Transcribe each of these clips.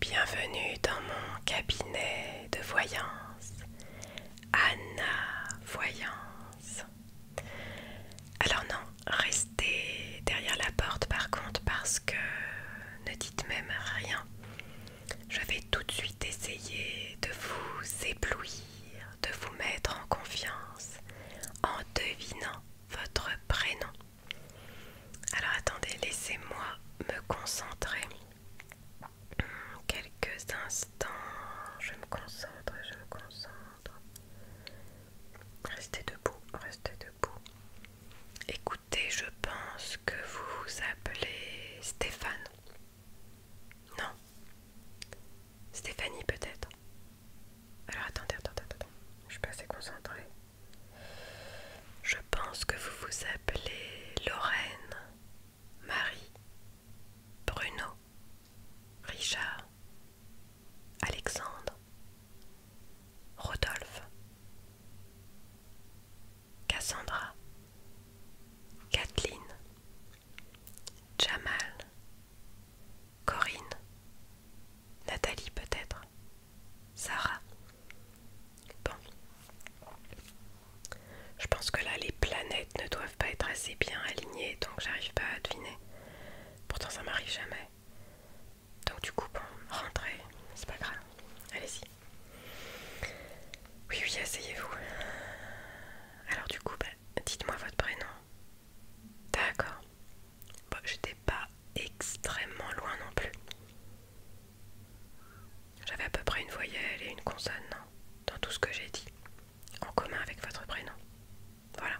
Bienvenue dans mon cabinet de voyance, Anna Voyance. Alors non, restez derrière la porte par contre parce que ne dites même rien. Je vais tout de suite essayer de vous éblouir, de vous mettre en confiance en devinant votre prénom. Alors attendez, laissez-moi me concentrer. Hmm, quelques instants, je me concentre, je me concentre. Restez debout, restez debout. Écoutez, je pense que vous vous appelez Stéphane. Non. Stéphanie peut-être. Alors attendez, attendez, attendez. Je suis pas assez concentrée. Je pense que vous vous appelez Lorraine, Marie, Bruno, Richard, Alexandre, Rodolphe, Cassandra, Kathleen, Jamal, Corinne, Nathalie peut-être, Sarah. Bon. Je pense que là, les planètes ne doivent pas être assez bien alignées, donc j'arrive pas à deviner. Pourtant, ça m'arrive jamais. Donc du coup, bon, rentrez, c'est pas grave. Allez-y. Oui, oui, asseyez-vous. Alors du coup, bah, dites-moi votre prénom. D'accord. Bah, j'étais pas extrêmement loin non plus. J'avais à peu près une voyelle et une consonne hein, dans tout ce que j'ai dit, en commun avec votre prénom. Voilà.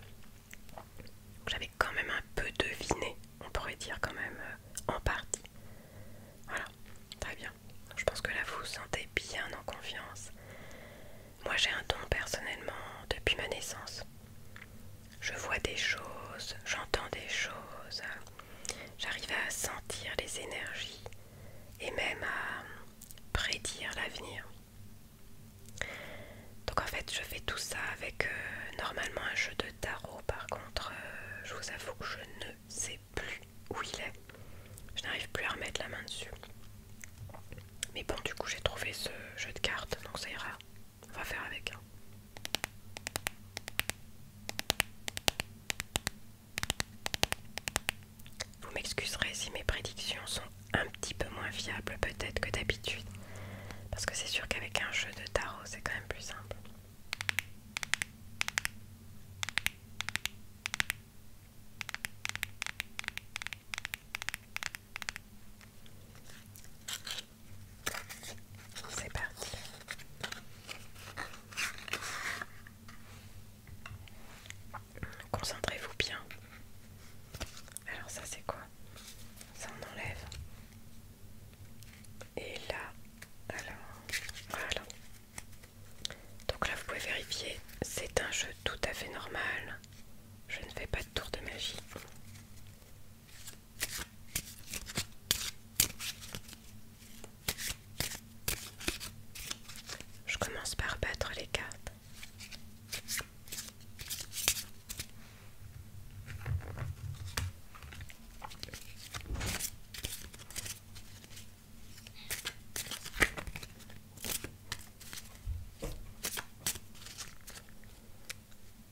J'avais quand même un peu deviné, on pourrait dire quand même euh, en partie. Voilà, très bien. je pense que là vous vous sentez bien en confiance. Moi j'ai un don personnellement depuis ma naissance. Je vois des choses, j'entends des choses, j'arrive à sentir les énergies et même à prédire l'avenir. Donc en fait je fais tout ça avec euh, normalement un jeu de tarot par contre euh, je vous avoue que je ne sais plus où il est. Je n'arrive plus à remettre la main dessus. Mais bon du coup j'ai trouvé ce jeu de cartes donc ça ira on va faire avec. Hein. Vous m'excuserez si mes prédictions sont un petit peu moins fiables peut-être que d'habitude. Parce que c'est sûr qu'avec un jeu de tarot, c'est quand même plus simple. C'est parti. Concentrez-vous bien. Alors ça c'est quoi Ça on enlève. Et là, alors, voilà. Donc là vous pouvez vérifier, c'est un jeu tout à fait normal. Je ne fais pas de tour de magie. Je commence par battre les cartes.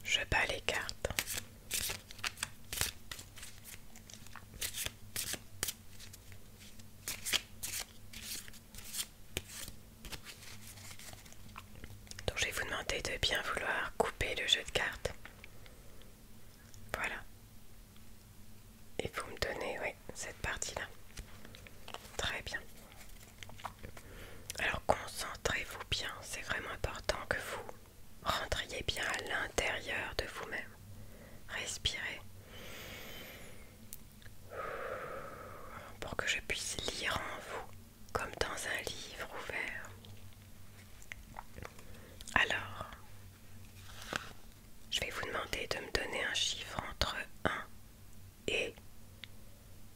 Je bats les cartes. Donc je vais vous demander de bien vouloir couper le jeu de cartes. Voilà. Et vous me donnez oui, cette partie-là. Très bien. Alors concentrez-vous bien, c'est vraiment important que vous rentriez bien à l'intérieur de vous-même. Respirez pour que je puisse lire en vous comme dans un livre ouvert. Alors, je vais vous demander de me donner un chiffre entre 1 et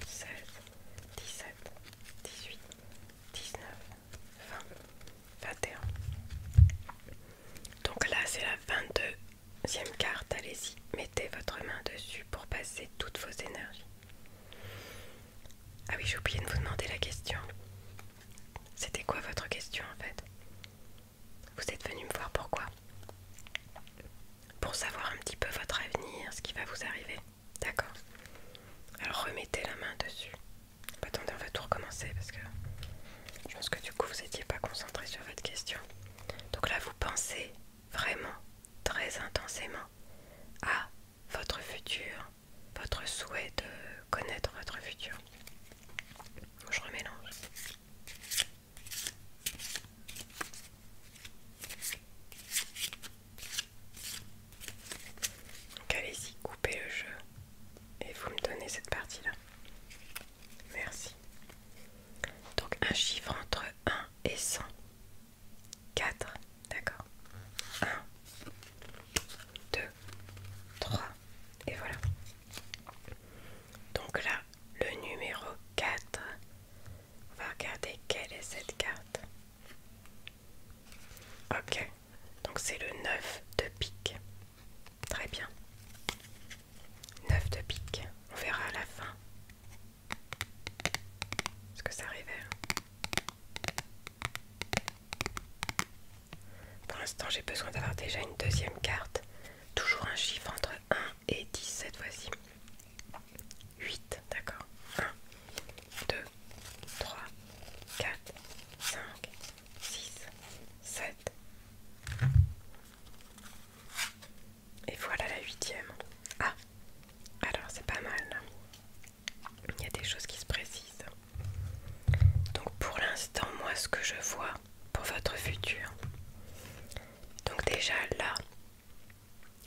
16, 17, 18, 19, 20, 21. Donc là, c'est la 22e carte. Allez-y, mettez votre main dessus pour passer toutes vos énergies. Ah oui, j'ai oublié de vous demander la question. C'était quoi votre question en fait Vous êtes venu me voir pourquoi Pour savoir un petit peu votre avenir, ce qui va vous arriver. D'accord. Alors remettez la main dessus. Bah, attendez, on va tout recommencer parce que je pense que du coup vous n'étiez pas concentré sur votre question. Donc là, vous pensez vraiment, très intensément, à votre futur, votre souhait de connaître votre futur. Je remélange. Donc allez-y, coupez le jeu et vous me donnez cette partie-là. Merci. Donc un chiffre entre 1 et 100. 4, d'accord. 1, 2, 3, et voilà. Donc là, le numéro 4, on va regarder quelle est cette carte. Ok, donc c'est le 9 de pique. Très bien. 9 de pique. On verra à la fin ce que ça révèle. Hein? Pour l'instant, j'ai besoin d'avoir déjà une deuxième carte. Toujours un chiffre entre 1 et 10 cette fois-ci. 8, d'accord 1, 2, 3, 4, 5, 6, 7. Et voilà la huitième. Ah, alors c'est pas mal. Il y a des choses qui se précisent. Donc pour l'instant, moi ce que je vois pour votre futur. Donc déjà là,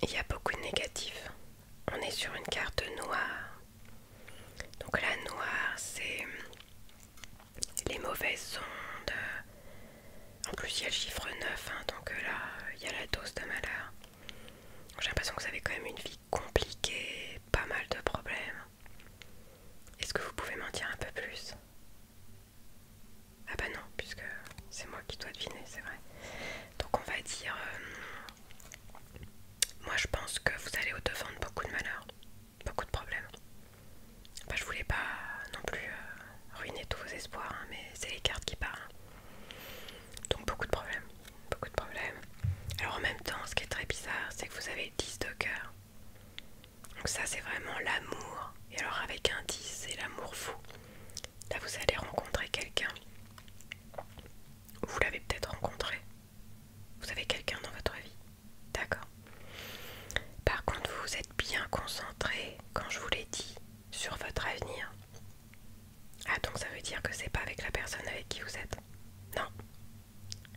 il y a beaucoup de négatifs. On est sur une carte noire. Donc la noire, c'est les mauvaises ondes. En plus, il y a le chiffre 9, hein, donc euh, là, il y a la dose de malheur. J'ai l'impression que vous avez quand même une vie compliquée, pas mal de problèmes. Est-ce que vous pouvez m'en dire un peu plus ah bah non, puisque c'est moi qui dois deviner, c'est vrai. Donc on va dire... Euh, moi je pense que vous allez au-devant de beaucoup de malheur. beaucoup de problèmes. Bah je voulais pas non plus euh, ruiner tous vos espoirs, hein, mais c'est les cartes qui parlent. Donc beaucoup de problèmes, beaucoup de problèmes. Alors en même temps, ce qui est très bizarre, c'est que vous avez 10 de cœur. Donc ça c'est vraiment l'amour. Et alors avec un 10, c'est l'amour fou. Là, vous allez rencontrer quelqu'un. Vous l'avez peut-être rencontré. Vous avez quelqu'un dans votre vie. D'accord. Par contre, vous êtes bien concentré, quand je vous l'ai dit, sur votre avenir. Ah, donc ça veut dire que c'est pas avec la personne avec qui vous êtes. Non.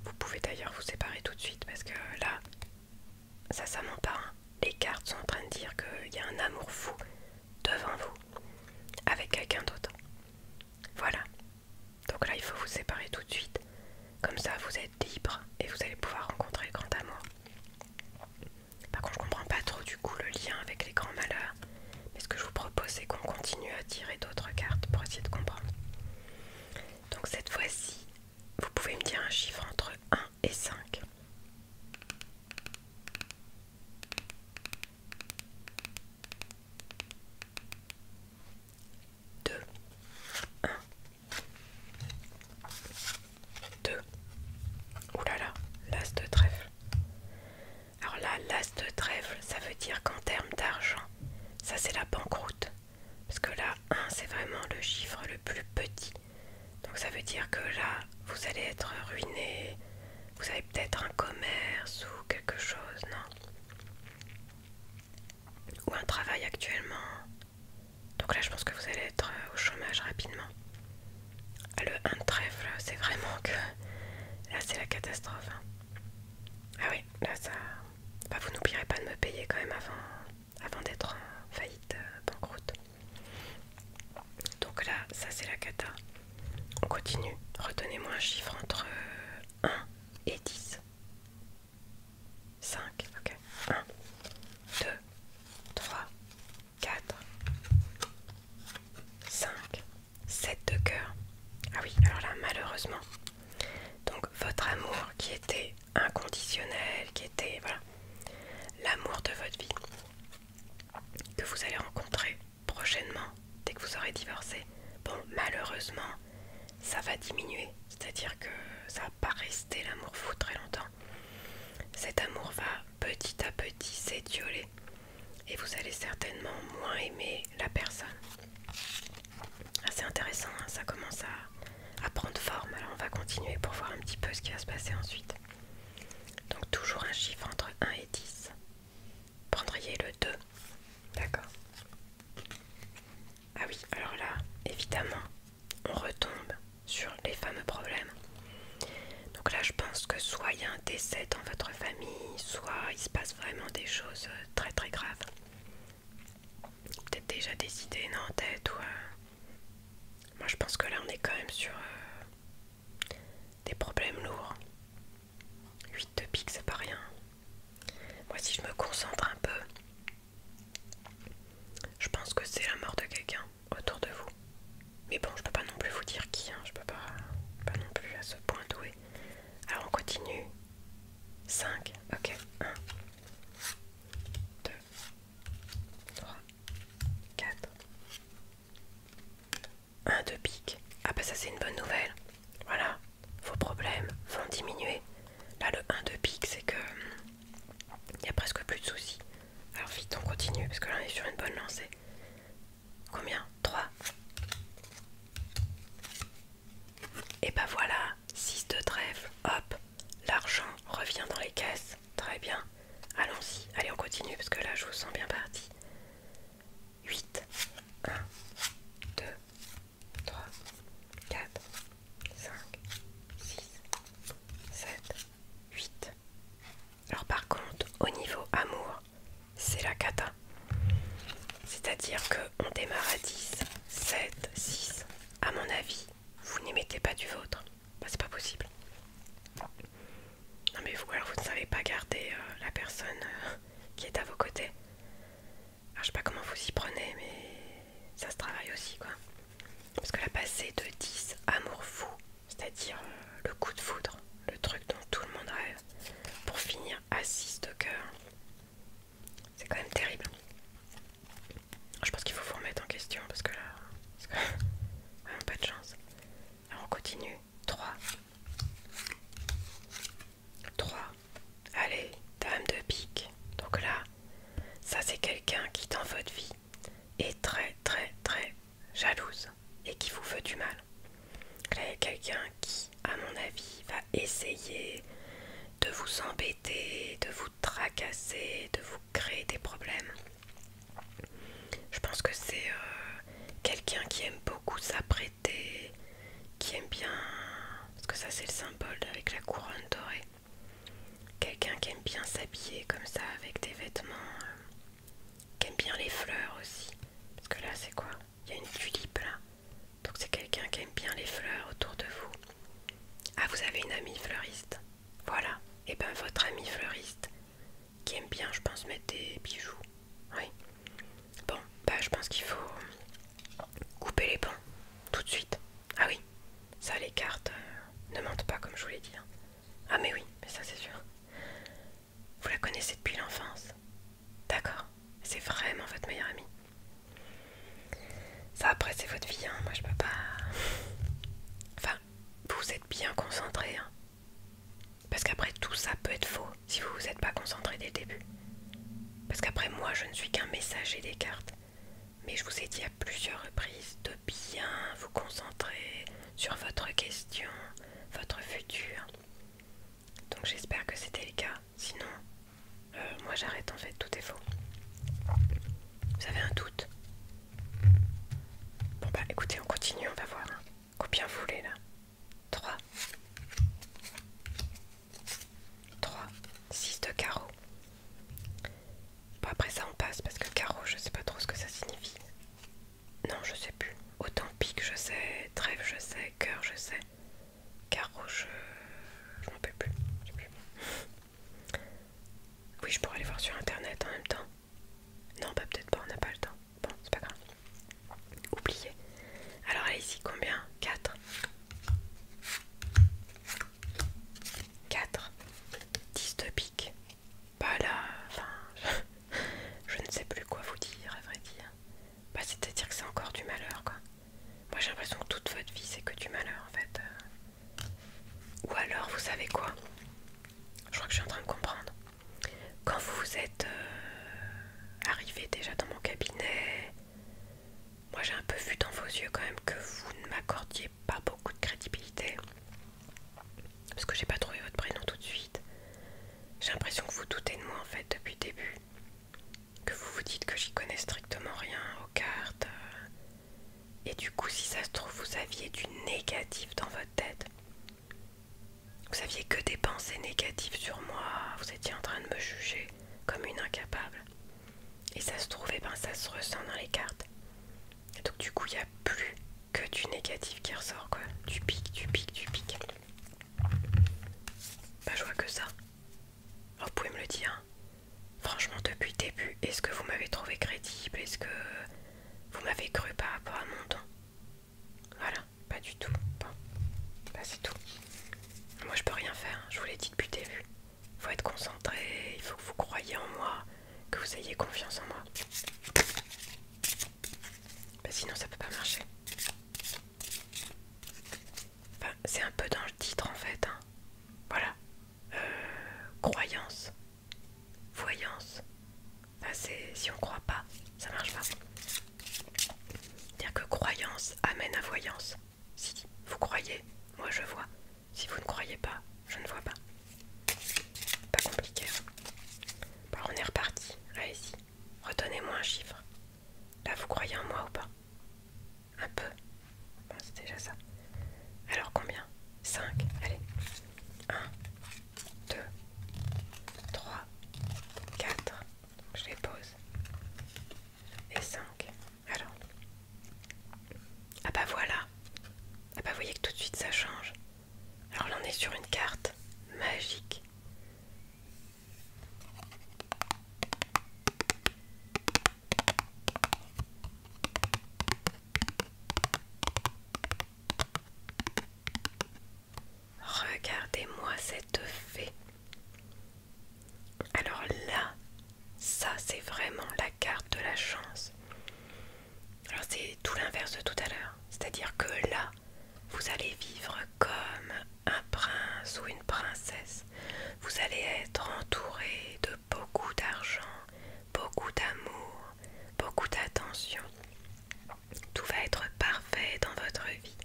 Vous pouvez d'ailleurs vous séparer tout de suite parce que là, ça, ça ment pas. Hein les cartes sont en train de dire qu'il y a un amour fou devant vous avec quelqu'un d'autre. Voilà. Donc là, il faut vous séparer tout de suite. Comme ça, vous êtes libre et vous allez pouvoir rencontrer le grand amour. Par contre, je ne comprends pas trop du coup le lien avec les grands malheurs. Mais ce que je vous propose, c'est qu'on continue à tirer d'autres cartes pour essayer de comprendre. Donc cette fois-ci, vous pouvez me dire un chiffre entre 1 et 5. Deux. Un. Deux. Ouh là là, l'as de trèfle. Alors là, l'as de trèfle, ça veut dire qu'en termes d'argent, ça c'est la banqueroute. Parce que là, 1 c'est vraiment le chiffre le plus petit. Donc ça veut dire que là, vous allez être ruiné, vous avez peut-être un commerce ou quelque chose, non Ou un travail actuellement. Donc là, je pense que vous allez être euh, au chômage rapidement. Ah, le 1 de trèfle, c'est vraiment que... Là, c'est la catastrophe. Hein. Ah oui, là, ça... Bah, vous n'oublierez pas de me payer quand même avant, avant d'être en euh, faillite, euh, banqueroute. Donc là, ça c'est la cata. On continue. Retenez-moi un chiffre entre 1 euh, et 10. 5, ok. 1, 2, 3, 4, 5, 7 de cœur. Ah oui, alors là, malheureusement. Donc votre amour qui était inconditionnel, qui était... L'amour de votre vie que vous allez rencontrer prochainement dès que vous aurez divorcé, bon malheureusement ça va diminuer, c'est-à-dire que ça va pas rester l'amour fou très longtemps. Cet amour va petit à petit s'étioler et vous allez certainement moins aimer la personne. c'est intéressant, hein, ça commence à, à prendre forme, alors on va continuer pour voir un petit peu ce qui va se passer ensuite. Donc toujours un chiffre entre 1 et 10. Prendriez le 2. D'accord. Ah oui, alors là, évidemment, on retombe sur les fameux problèmes. Donc là, je pense que soit il y a un décès dans votre famille, soit il se passe vraiment des choses euh, très très graves. Peut-être déjà des idées non, en tête ou... Euh, moi je pense que là on est quand même sur euh, des problèmes lourds. 8 de pique c'est pas rien. Moi si je me concentre un peu, je pense que c'est la mort de quelqu'un autour de vous. Mais bon je peux pas non plus vous dire qui, hein. je peux pas, pas non plus à ce point doué. Alors on continue. 5, ok, 1, 2, 3, 4. 1, de pique. Ah bah ça c'est une bonne nouvelle. Voilà, vos problèmes vont diminuer. Là le 1 de pique c'est que hum, il n'y a presque plus de soucis. Alors vite on continue parce que là on est sur une bonne lancée. Combien 3. Et bah voilà, 6 de trèfle. Hop, l'argent revient dans les caisses. Très bien. Allons-y. Allez, on continue parce que là, je vous sens bien parti. 8. 1, 2, 3, 4, 5, 6, 7, 8. Alors par contre, au niveau amour, c'est la cata. C'est-à-dire qu'on démarre à 10, 7, 6. À mon avis, vous n'y mettez pas du vôtre. Bah, c'est pas possible. Non, mais vous, alors vous ne savez pas garder euh, la personne euh, qui est à vos côtés. Alors, je sais pas comment vous y prenez, mais ça se travaille aussi, quoi. Parce que la passer de 10 amour fou, c'est-à-dire euh, le coup de foudre, le truc dont tout le monde rêve, pour finir à 6 de cœur, c'est quand même terrible. Je pense qu'il faut vous remettre en question parce que là, pas de chance. on continue. 3. 3. Allez, dame de pique. Donc là, ça c'est quelqu'un qui dans votre vie est très très très jalouse et qui vous veut du mal. là, il y a quelqu'un qui, à mon avis, va essayer de vous embêter, de vous tracasser, de vous Créer des problèmes. Je pense que c'est euh, quelqu'un qui aime beaucoup s'apprêter, qui aime bien... Parce que ça c'est le symbole avec la couronne dorée. Quelqu'un qui aime bien s'habiller comme ça avec des vêtements, euh, qui aime bien les fleurs aussi. Parce que là c'est quoi Il y a une tulipe là. Donc c'est quelqu'un qui aime bien les fleurs autour de vous. Ah vous avez une amie fleuriste voilà, et eh ben votre ami fleuriste, qui aime bien, je pense, mettre des bijoux. Oui. Bon, bah je pense qu'il faut couper les bons tout de suite. Ah oui, ça les cartes euh, ne mentent pas comme je vous l'ai dit. Hein. Ah mais oui, mais ça c'est sûr. Vous la connaissez depuis l'enfance. D'accord, c'est vraiment votre meilleure amie. Ça après c'est votre vie, hein. moi je peux pas... Enfin, vous êtes bien concentré. Hein. Parce qu'après tout ça peut être faux si vous vous êtes pas concentré dès le début. Parce qu'après moi je ne suis qu'un messager des cartes. Mais je vous ai dit à plusieurs reprises de bien vous concentrer sur votre question, votre futur. Donc j'espère que c'était le cas. Sinon, euh, moi j'arrête en fait, tout est faux. Vous avez un doute Bon bah écoutez, on continue, on va voir. Hein. Combien vous voulez là 3. 3. 6 de carreau. Bon après ça on passe parce que carreau je sais pas trop ce que ça signifie. Non je sais plus. Autant pique je sais, trêve je sais, cœur je sais. Carreau je... je m'en peux plus. Oui, je pourrais aller voir sur internet en même temps. Non, bah peut-être pas, on n'a pas le temps. Bon, c'est pas grave. Oubliez. Alors, allez-y, combien 4. 4. Dystopique. Bah là, enfin, je, ne sais plus quoi vous dire, à vrai dire. Bah, c'est-à-dire que c'est encore du malheur, quoi. Moi, j'ai l'impression que toute votre vie, c'est que du malheur, en fait. Ou alors, vous savez quoi Je crois que je suis en train de comprendre. Quand vous vous êtes euh, arrivé déjà dans mon cabinet, moi j'ai un peu vu dans vos yeux quand même que vous ne m'accordiez pas beaucoup de crédibilité. Parce que j'ai pas trouvé votre prénom tout de suite. J'ai l'impression que vous doutez de moi en fait depuis le début. Que vous vous dites que j'y connais strictement rien aux cartes. Euh, et du coup, si ça se trouve, vous aviez du négatif dans votre tête. Vous aviez que des pensées négatives sur moi. Vous étiez en train de me juger comme une incapable. Et ça se trouve, eh ben ça se ressent dans les cartes. Et donc du coup, il n'y a plus que du négatif qui ressort, quoi. Du pic, du pic, du pic. Bah, je vois que ça. Vous pouvez me le dire. Franchement, depuis le début, est-ce que vous m'avez trouvé crédible Est-ce que vous m'avez cru par rapport à mon don Voilà, pas du tout. Bon, bah c'est tout. Moi, je peux rien faire, je vous l'ai dit depuis le début. Faut être concentré, il faut que vous croyez en moi, que vous ayez confiance en moi. Bah sinon, ça peut pas marcher c'est un peu dans le titre en fait. Hein. Voilà. Euh, croyance. Voyance. si on croit pas, ça marche pas. Dire que croyance amène à voyance. Si vous croyez, moi je vois. Si vous ne croyez pas, je ne vois pas. Pas compliqué. Hein. on est reparti. Allez-y. retenez moi un chiffre. Là, vous croyez en moi ou pas un peu. Bon, c'est déjà ça. Alors combien 5. Allez. 1, 2, 3, 4. je les pose. Et 5. Alors. Ah bah voilà. Ah bah vous voyez que tout de suite ça change. Alors là on est sur une carte magique. Regardez-moi cette fée. Alors là, ça c'est vraiment la carte de la chance. Alors c'est tout l'inverse de tout à l'heure. C'est-à-dire que là, vous allez vivre comme un prince ou une princesse. Vous allez être entouré de beaucoup d'argent, beaucoup d'amour, beaucoup d'attention. Tout va être parfait dans votre vie.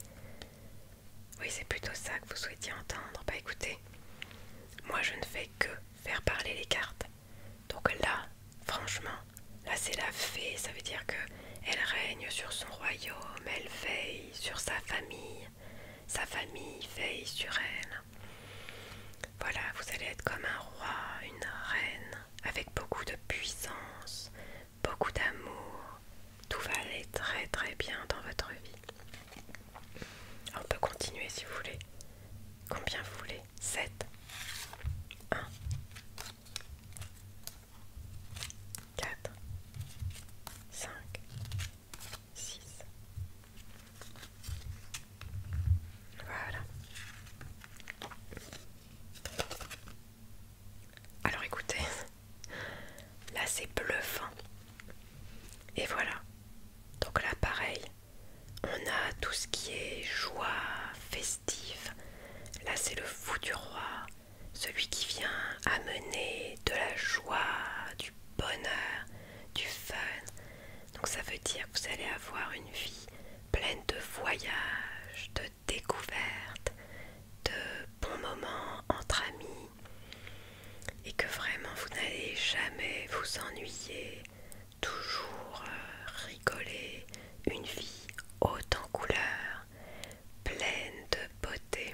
Oui, c'est plutôt ça que vous souhaitiez entendre. Bah écoutez, moi je ne fais que faire parler les cartes. Donc là, franchement, là c'est la fée, ça veut dire que elle règne sur son royaume, elle veille sur sa famille, sa famille veille sur elle. Voilà, vous allez être comme un roi, une reine, avec beaucoup de puissance, beaucoup d'amour. Tout va aller très très bien dans votre vie. On peut continuer si vous voulez. Combien vous voulez 7 1 4 5 6. Voilà. Alors écoutez, là c'est bluffant. Et voilà. Donc là pareil, on a tout ce qui est joie, festive. Là c'est le fou du roi, celui qui vient amener de la joie, bonheur, du fun. Donc ça veut dire que vous allez avoir une vie pleine de voyages, de découvertes, de bons moments entre amis et que vraiment vous n'allez jamais vous ennuyer, toujours euh, rigoler, une vie haute en couleurs, pleine de beauté.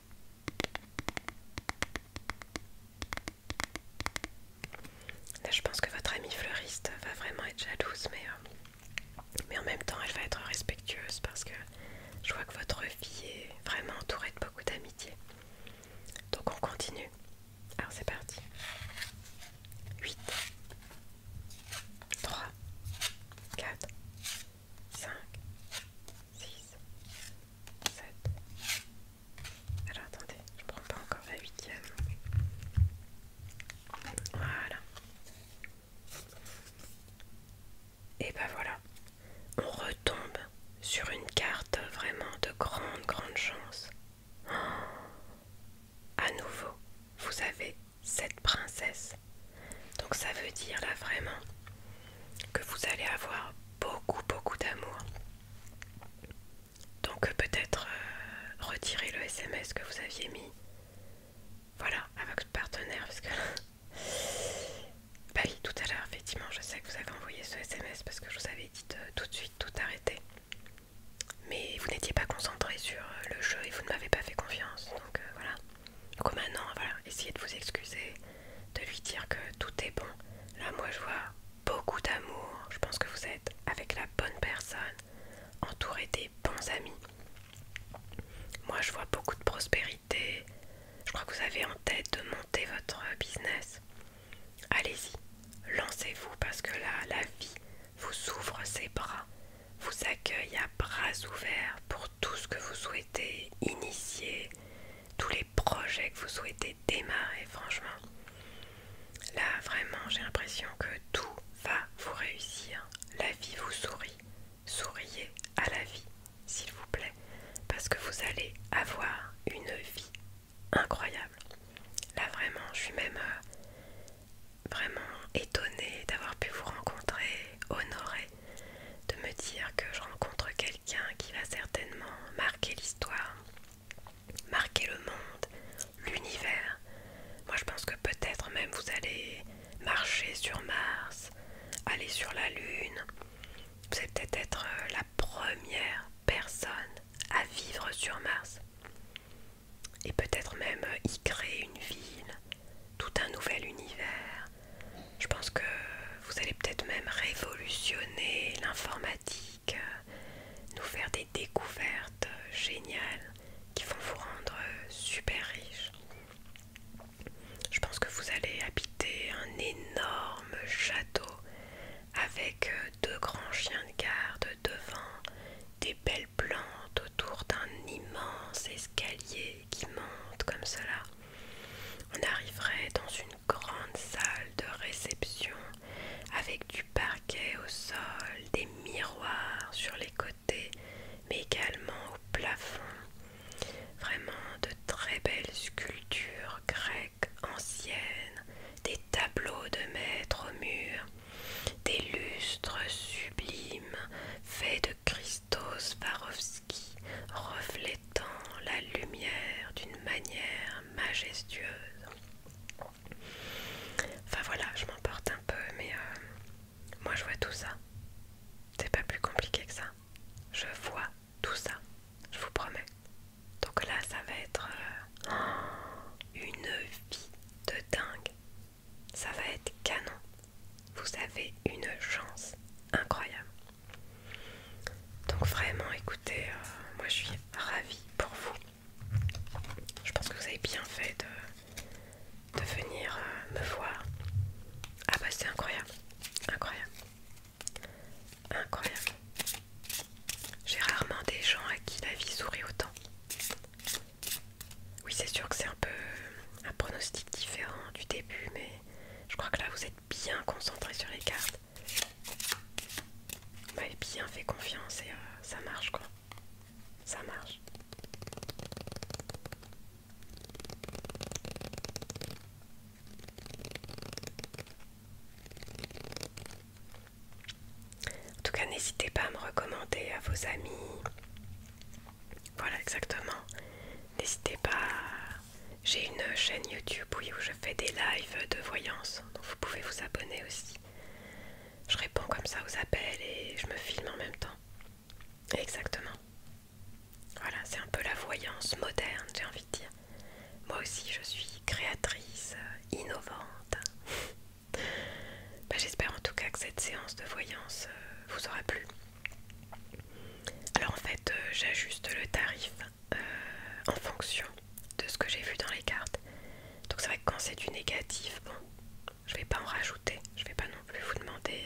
Là, je pense que votre amie fleuriste va vraiment être jalouse, euh, mais, en même temps, elle va être respectueuse parce que je vois que votre vie est vraiment entourée de beaucoup d'amitié. Donc, on continue. Alors, c'est parti. 8, 3, 4, 5, 6, 7. Alors attendez, je prends pas encore la huitième. Voilà. Et ben voilà. On retombe sur une carte vraiment de grande, grande chance. Oh, à nouveau, vous avez 7 princesse. Donc ça veut dire là vraiment que vous allez avoir beaucoup beaucoup d'amour. Donc euh, peut-être euh, retirer le SMS que vous aviez mis. Voilà, avec votre partenaire, parce que... bah oui, tout à l'heure, effectivement, je sais que vous avez envoyé ce SMS parce que je vous avais dit tout de suite tout arrêter. Mais vous n'étiez pas concentré sur euh, le jeu et vous ne m'avez pas fait confiance. Donc voilà. Donc maintenant, voilà, essayez de vous excuser, de lui dire que tout est bon. Là, moi, je vois beaucoup d'amour. Je pense que vous êtes avec la bonne personne, entouré des bons amis. Moi, je vois beaucoup de prospérité. Je crois que vous avez en tête de monter votre business. Allez-y, lancez-vous parce que là, la vie vous ouvre ses bras vous accueille à bras ouverts pour tout ce que vous souhaitez initier, tous les projets que vous souhaitez démarrer, franchement. Là, vraiment, j'ai l'impression que tout va vous réussir. La vie vous sourit. Souriez à la vie, s'il vous plaît, parce que vous allez avoir une vie incroyable. Là, vraiment, je suis même euh, vraiment étonnée d'avoir pu vous rencontrer, honorée de me dire que je rencontre quelqu'un qui va certainement marquer l'histoire, marquer le monde, l'univers. Moi je pense que peut-être même vous allez marcher sur Mars, aller sur la Lune. Vous allez peut-être être euh, la première personne à vivre sur Mars. Et peut-être même euh, y créer une ville, tout un nouvel univers, je pense que vous allez peut-être même révolutionner l'informatique, euh, nous faire des découvertes géniales qui vont vous rendre super riche. Je pense que vous allez habiter un énorme château avec deux grands chiens de garde devant, des belles plantes autour d'un immense escalier qui monte comme cela, on arriverait dans une grande salle de réception avec du parquet au sol, des miroirs sur les côtés, mais également au plafond. Vraiment de très belles sculptures grecques anciennes, des tableaux de maîtres au mur, des lustres sublimes faits Christos Sparovski reflétant la lumière d'une manière majestueuse. Enfin voilà, je m'emporte un peu, mais euh, moi je vois tout ça. C'est pas plus compliqué que ça. Je vois tout ça, je vous promets. Donc là, ça va être euh, une vie de dingue. Ça va être canon. Vous avez une chance incroyable. Donc vraiment, écoutez, euh, moi je suis ravie pour vous. Je pense que vous avez bien fait de, de venir euh, me voir. Ah bah c'est incroyable, incroyable, incroyable. J'ai rarement des gens à qui la vie sourit autant. Oui, c'est sûr que c'est un peu un pronostic différent du début, mais je crois que là vous êtes bien concentré sur les cartes. Vous m'avez bien fait confiance et euh, ça marche quoi. Ça marche. En tout cas, n'hésitez pas à me recommander à vos amis, voilà, exactement. N'hésitez pas. J'ai une chaîne YouTube où je fais des lives de voyance, donc vous pouvez vous abonner aussi. Je réponds comme ça aux appels et je me filme en même temps. Exactement. Voilà, c'est un peu la voyance moderne, j'ai envie de dire. Moi aussi, je suis créatrice, euh, innovante. Bah, j'espère en tout cas que cette séance de voyance euh, vous aura plu. Alors en fait, euh, j'ajuste le tarif euh, en fonction de ce que j'ai vu dans les cartes. Donc c'est vrai que quand c'est du négatif, bon, je vais pas en rajouter. Je vais pas non plus vous demander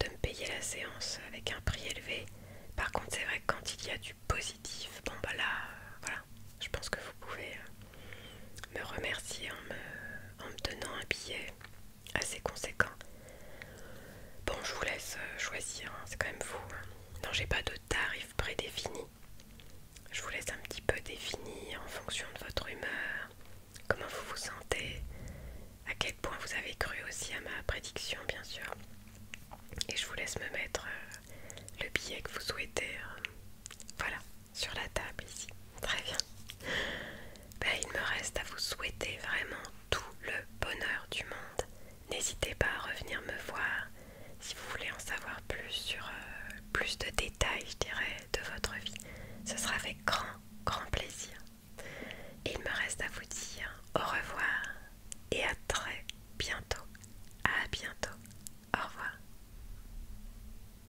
de me payer la séance avec un prix élevé. Par contre, c'est vrai que quand il y a du positif, bon bah là, voilà, je pense que vous pouvez me remercier en me, donnant un billet assez conséquent. Bon, je vous laisse euh, choisir, hein, c'est quand même vous hein. Non, j'ai pas de tarif prédéfini. Je vous laisse un petit peu définir en fonction de votre humeur, comment vous vous sentez, à quel point vous avez cru aussi à ma prédiction, bien sûr. Et je vous laisse me mettre euh, le billet que vous souhaitez. Euh, voilà, sur la table ici. Très bien. Ben, il me reste à vous souhaiter vraiment tout le bonheur du monde. N'hésitez pas à revenir me voir si vous voulez en savoir plus sur euh, plus de détails, je dirais, de votre vie. Ce sera avec grand, grand plaisir. il me reste à vous dire au revoir et à très bientôt. À bientôt. Au revoir.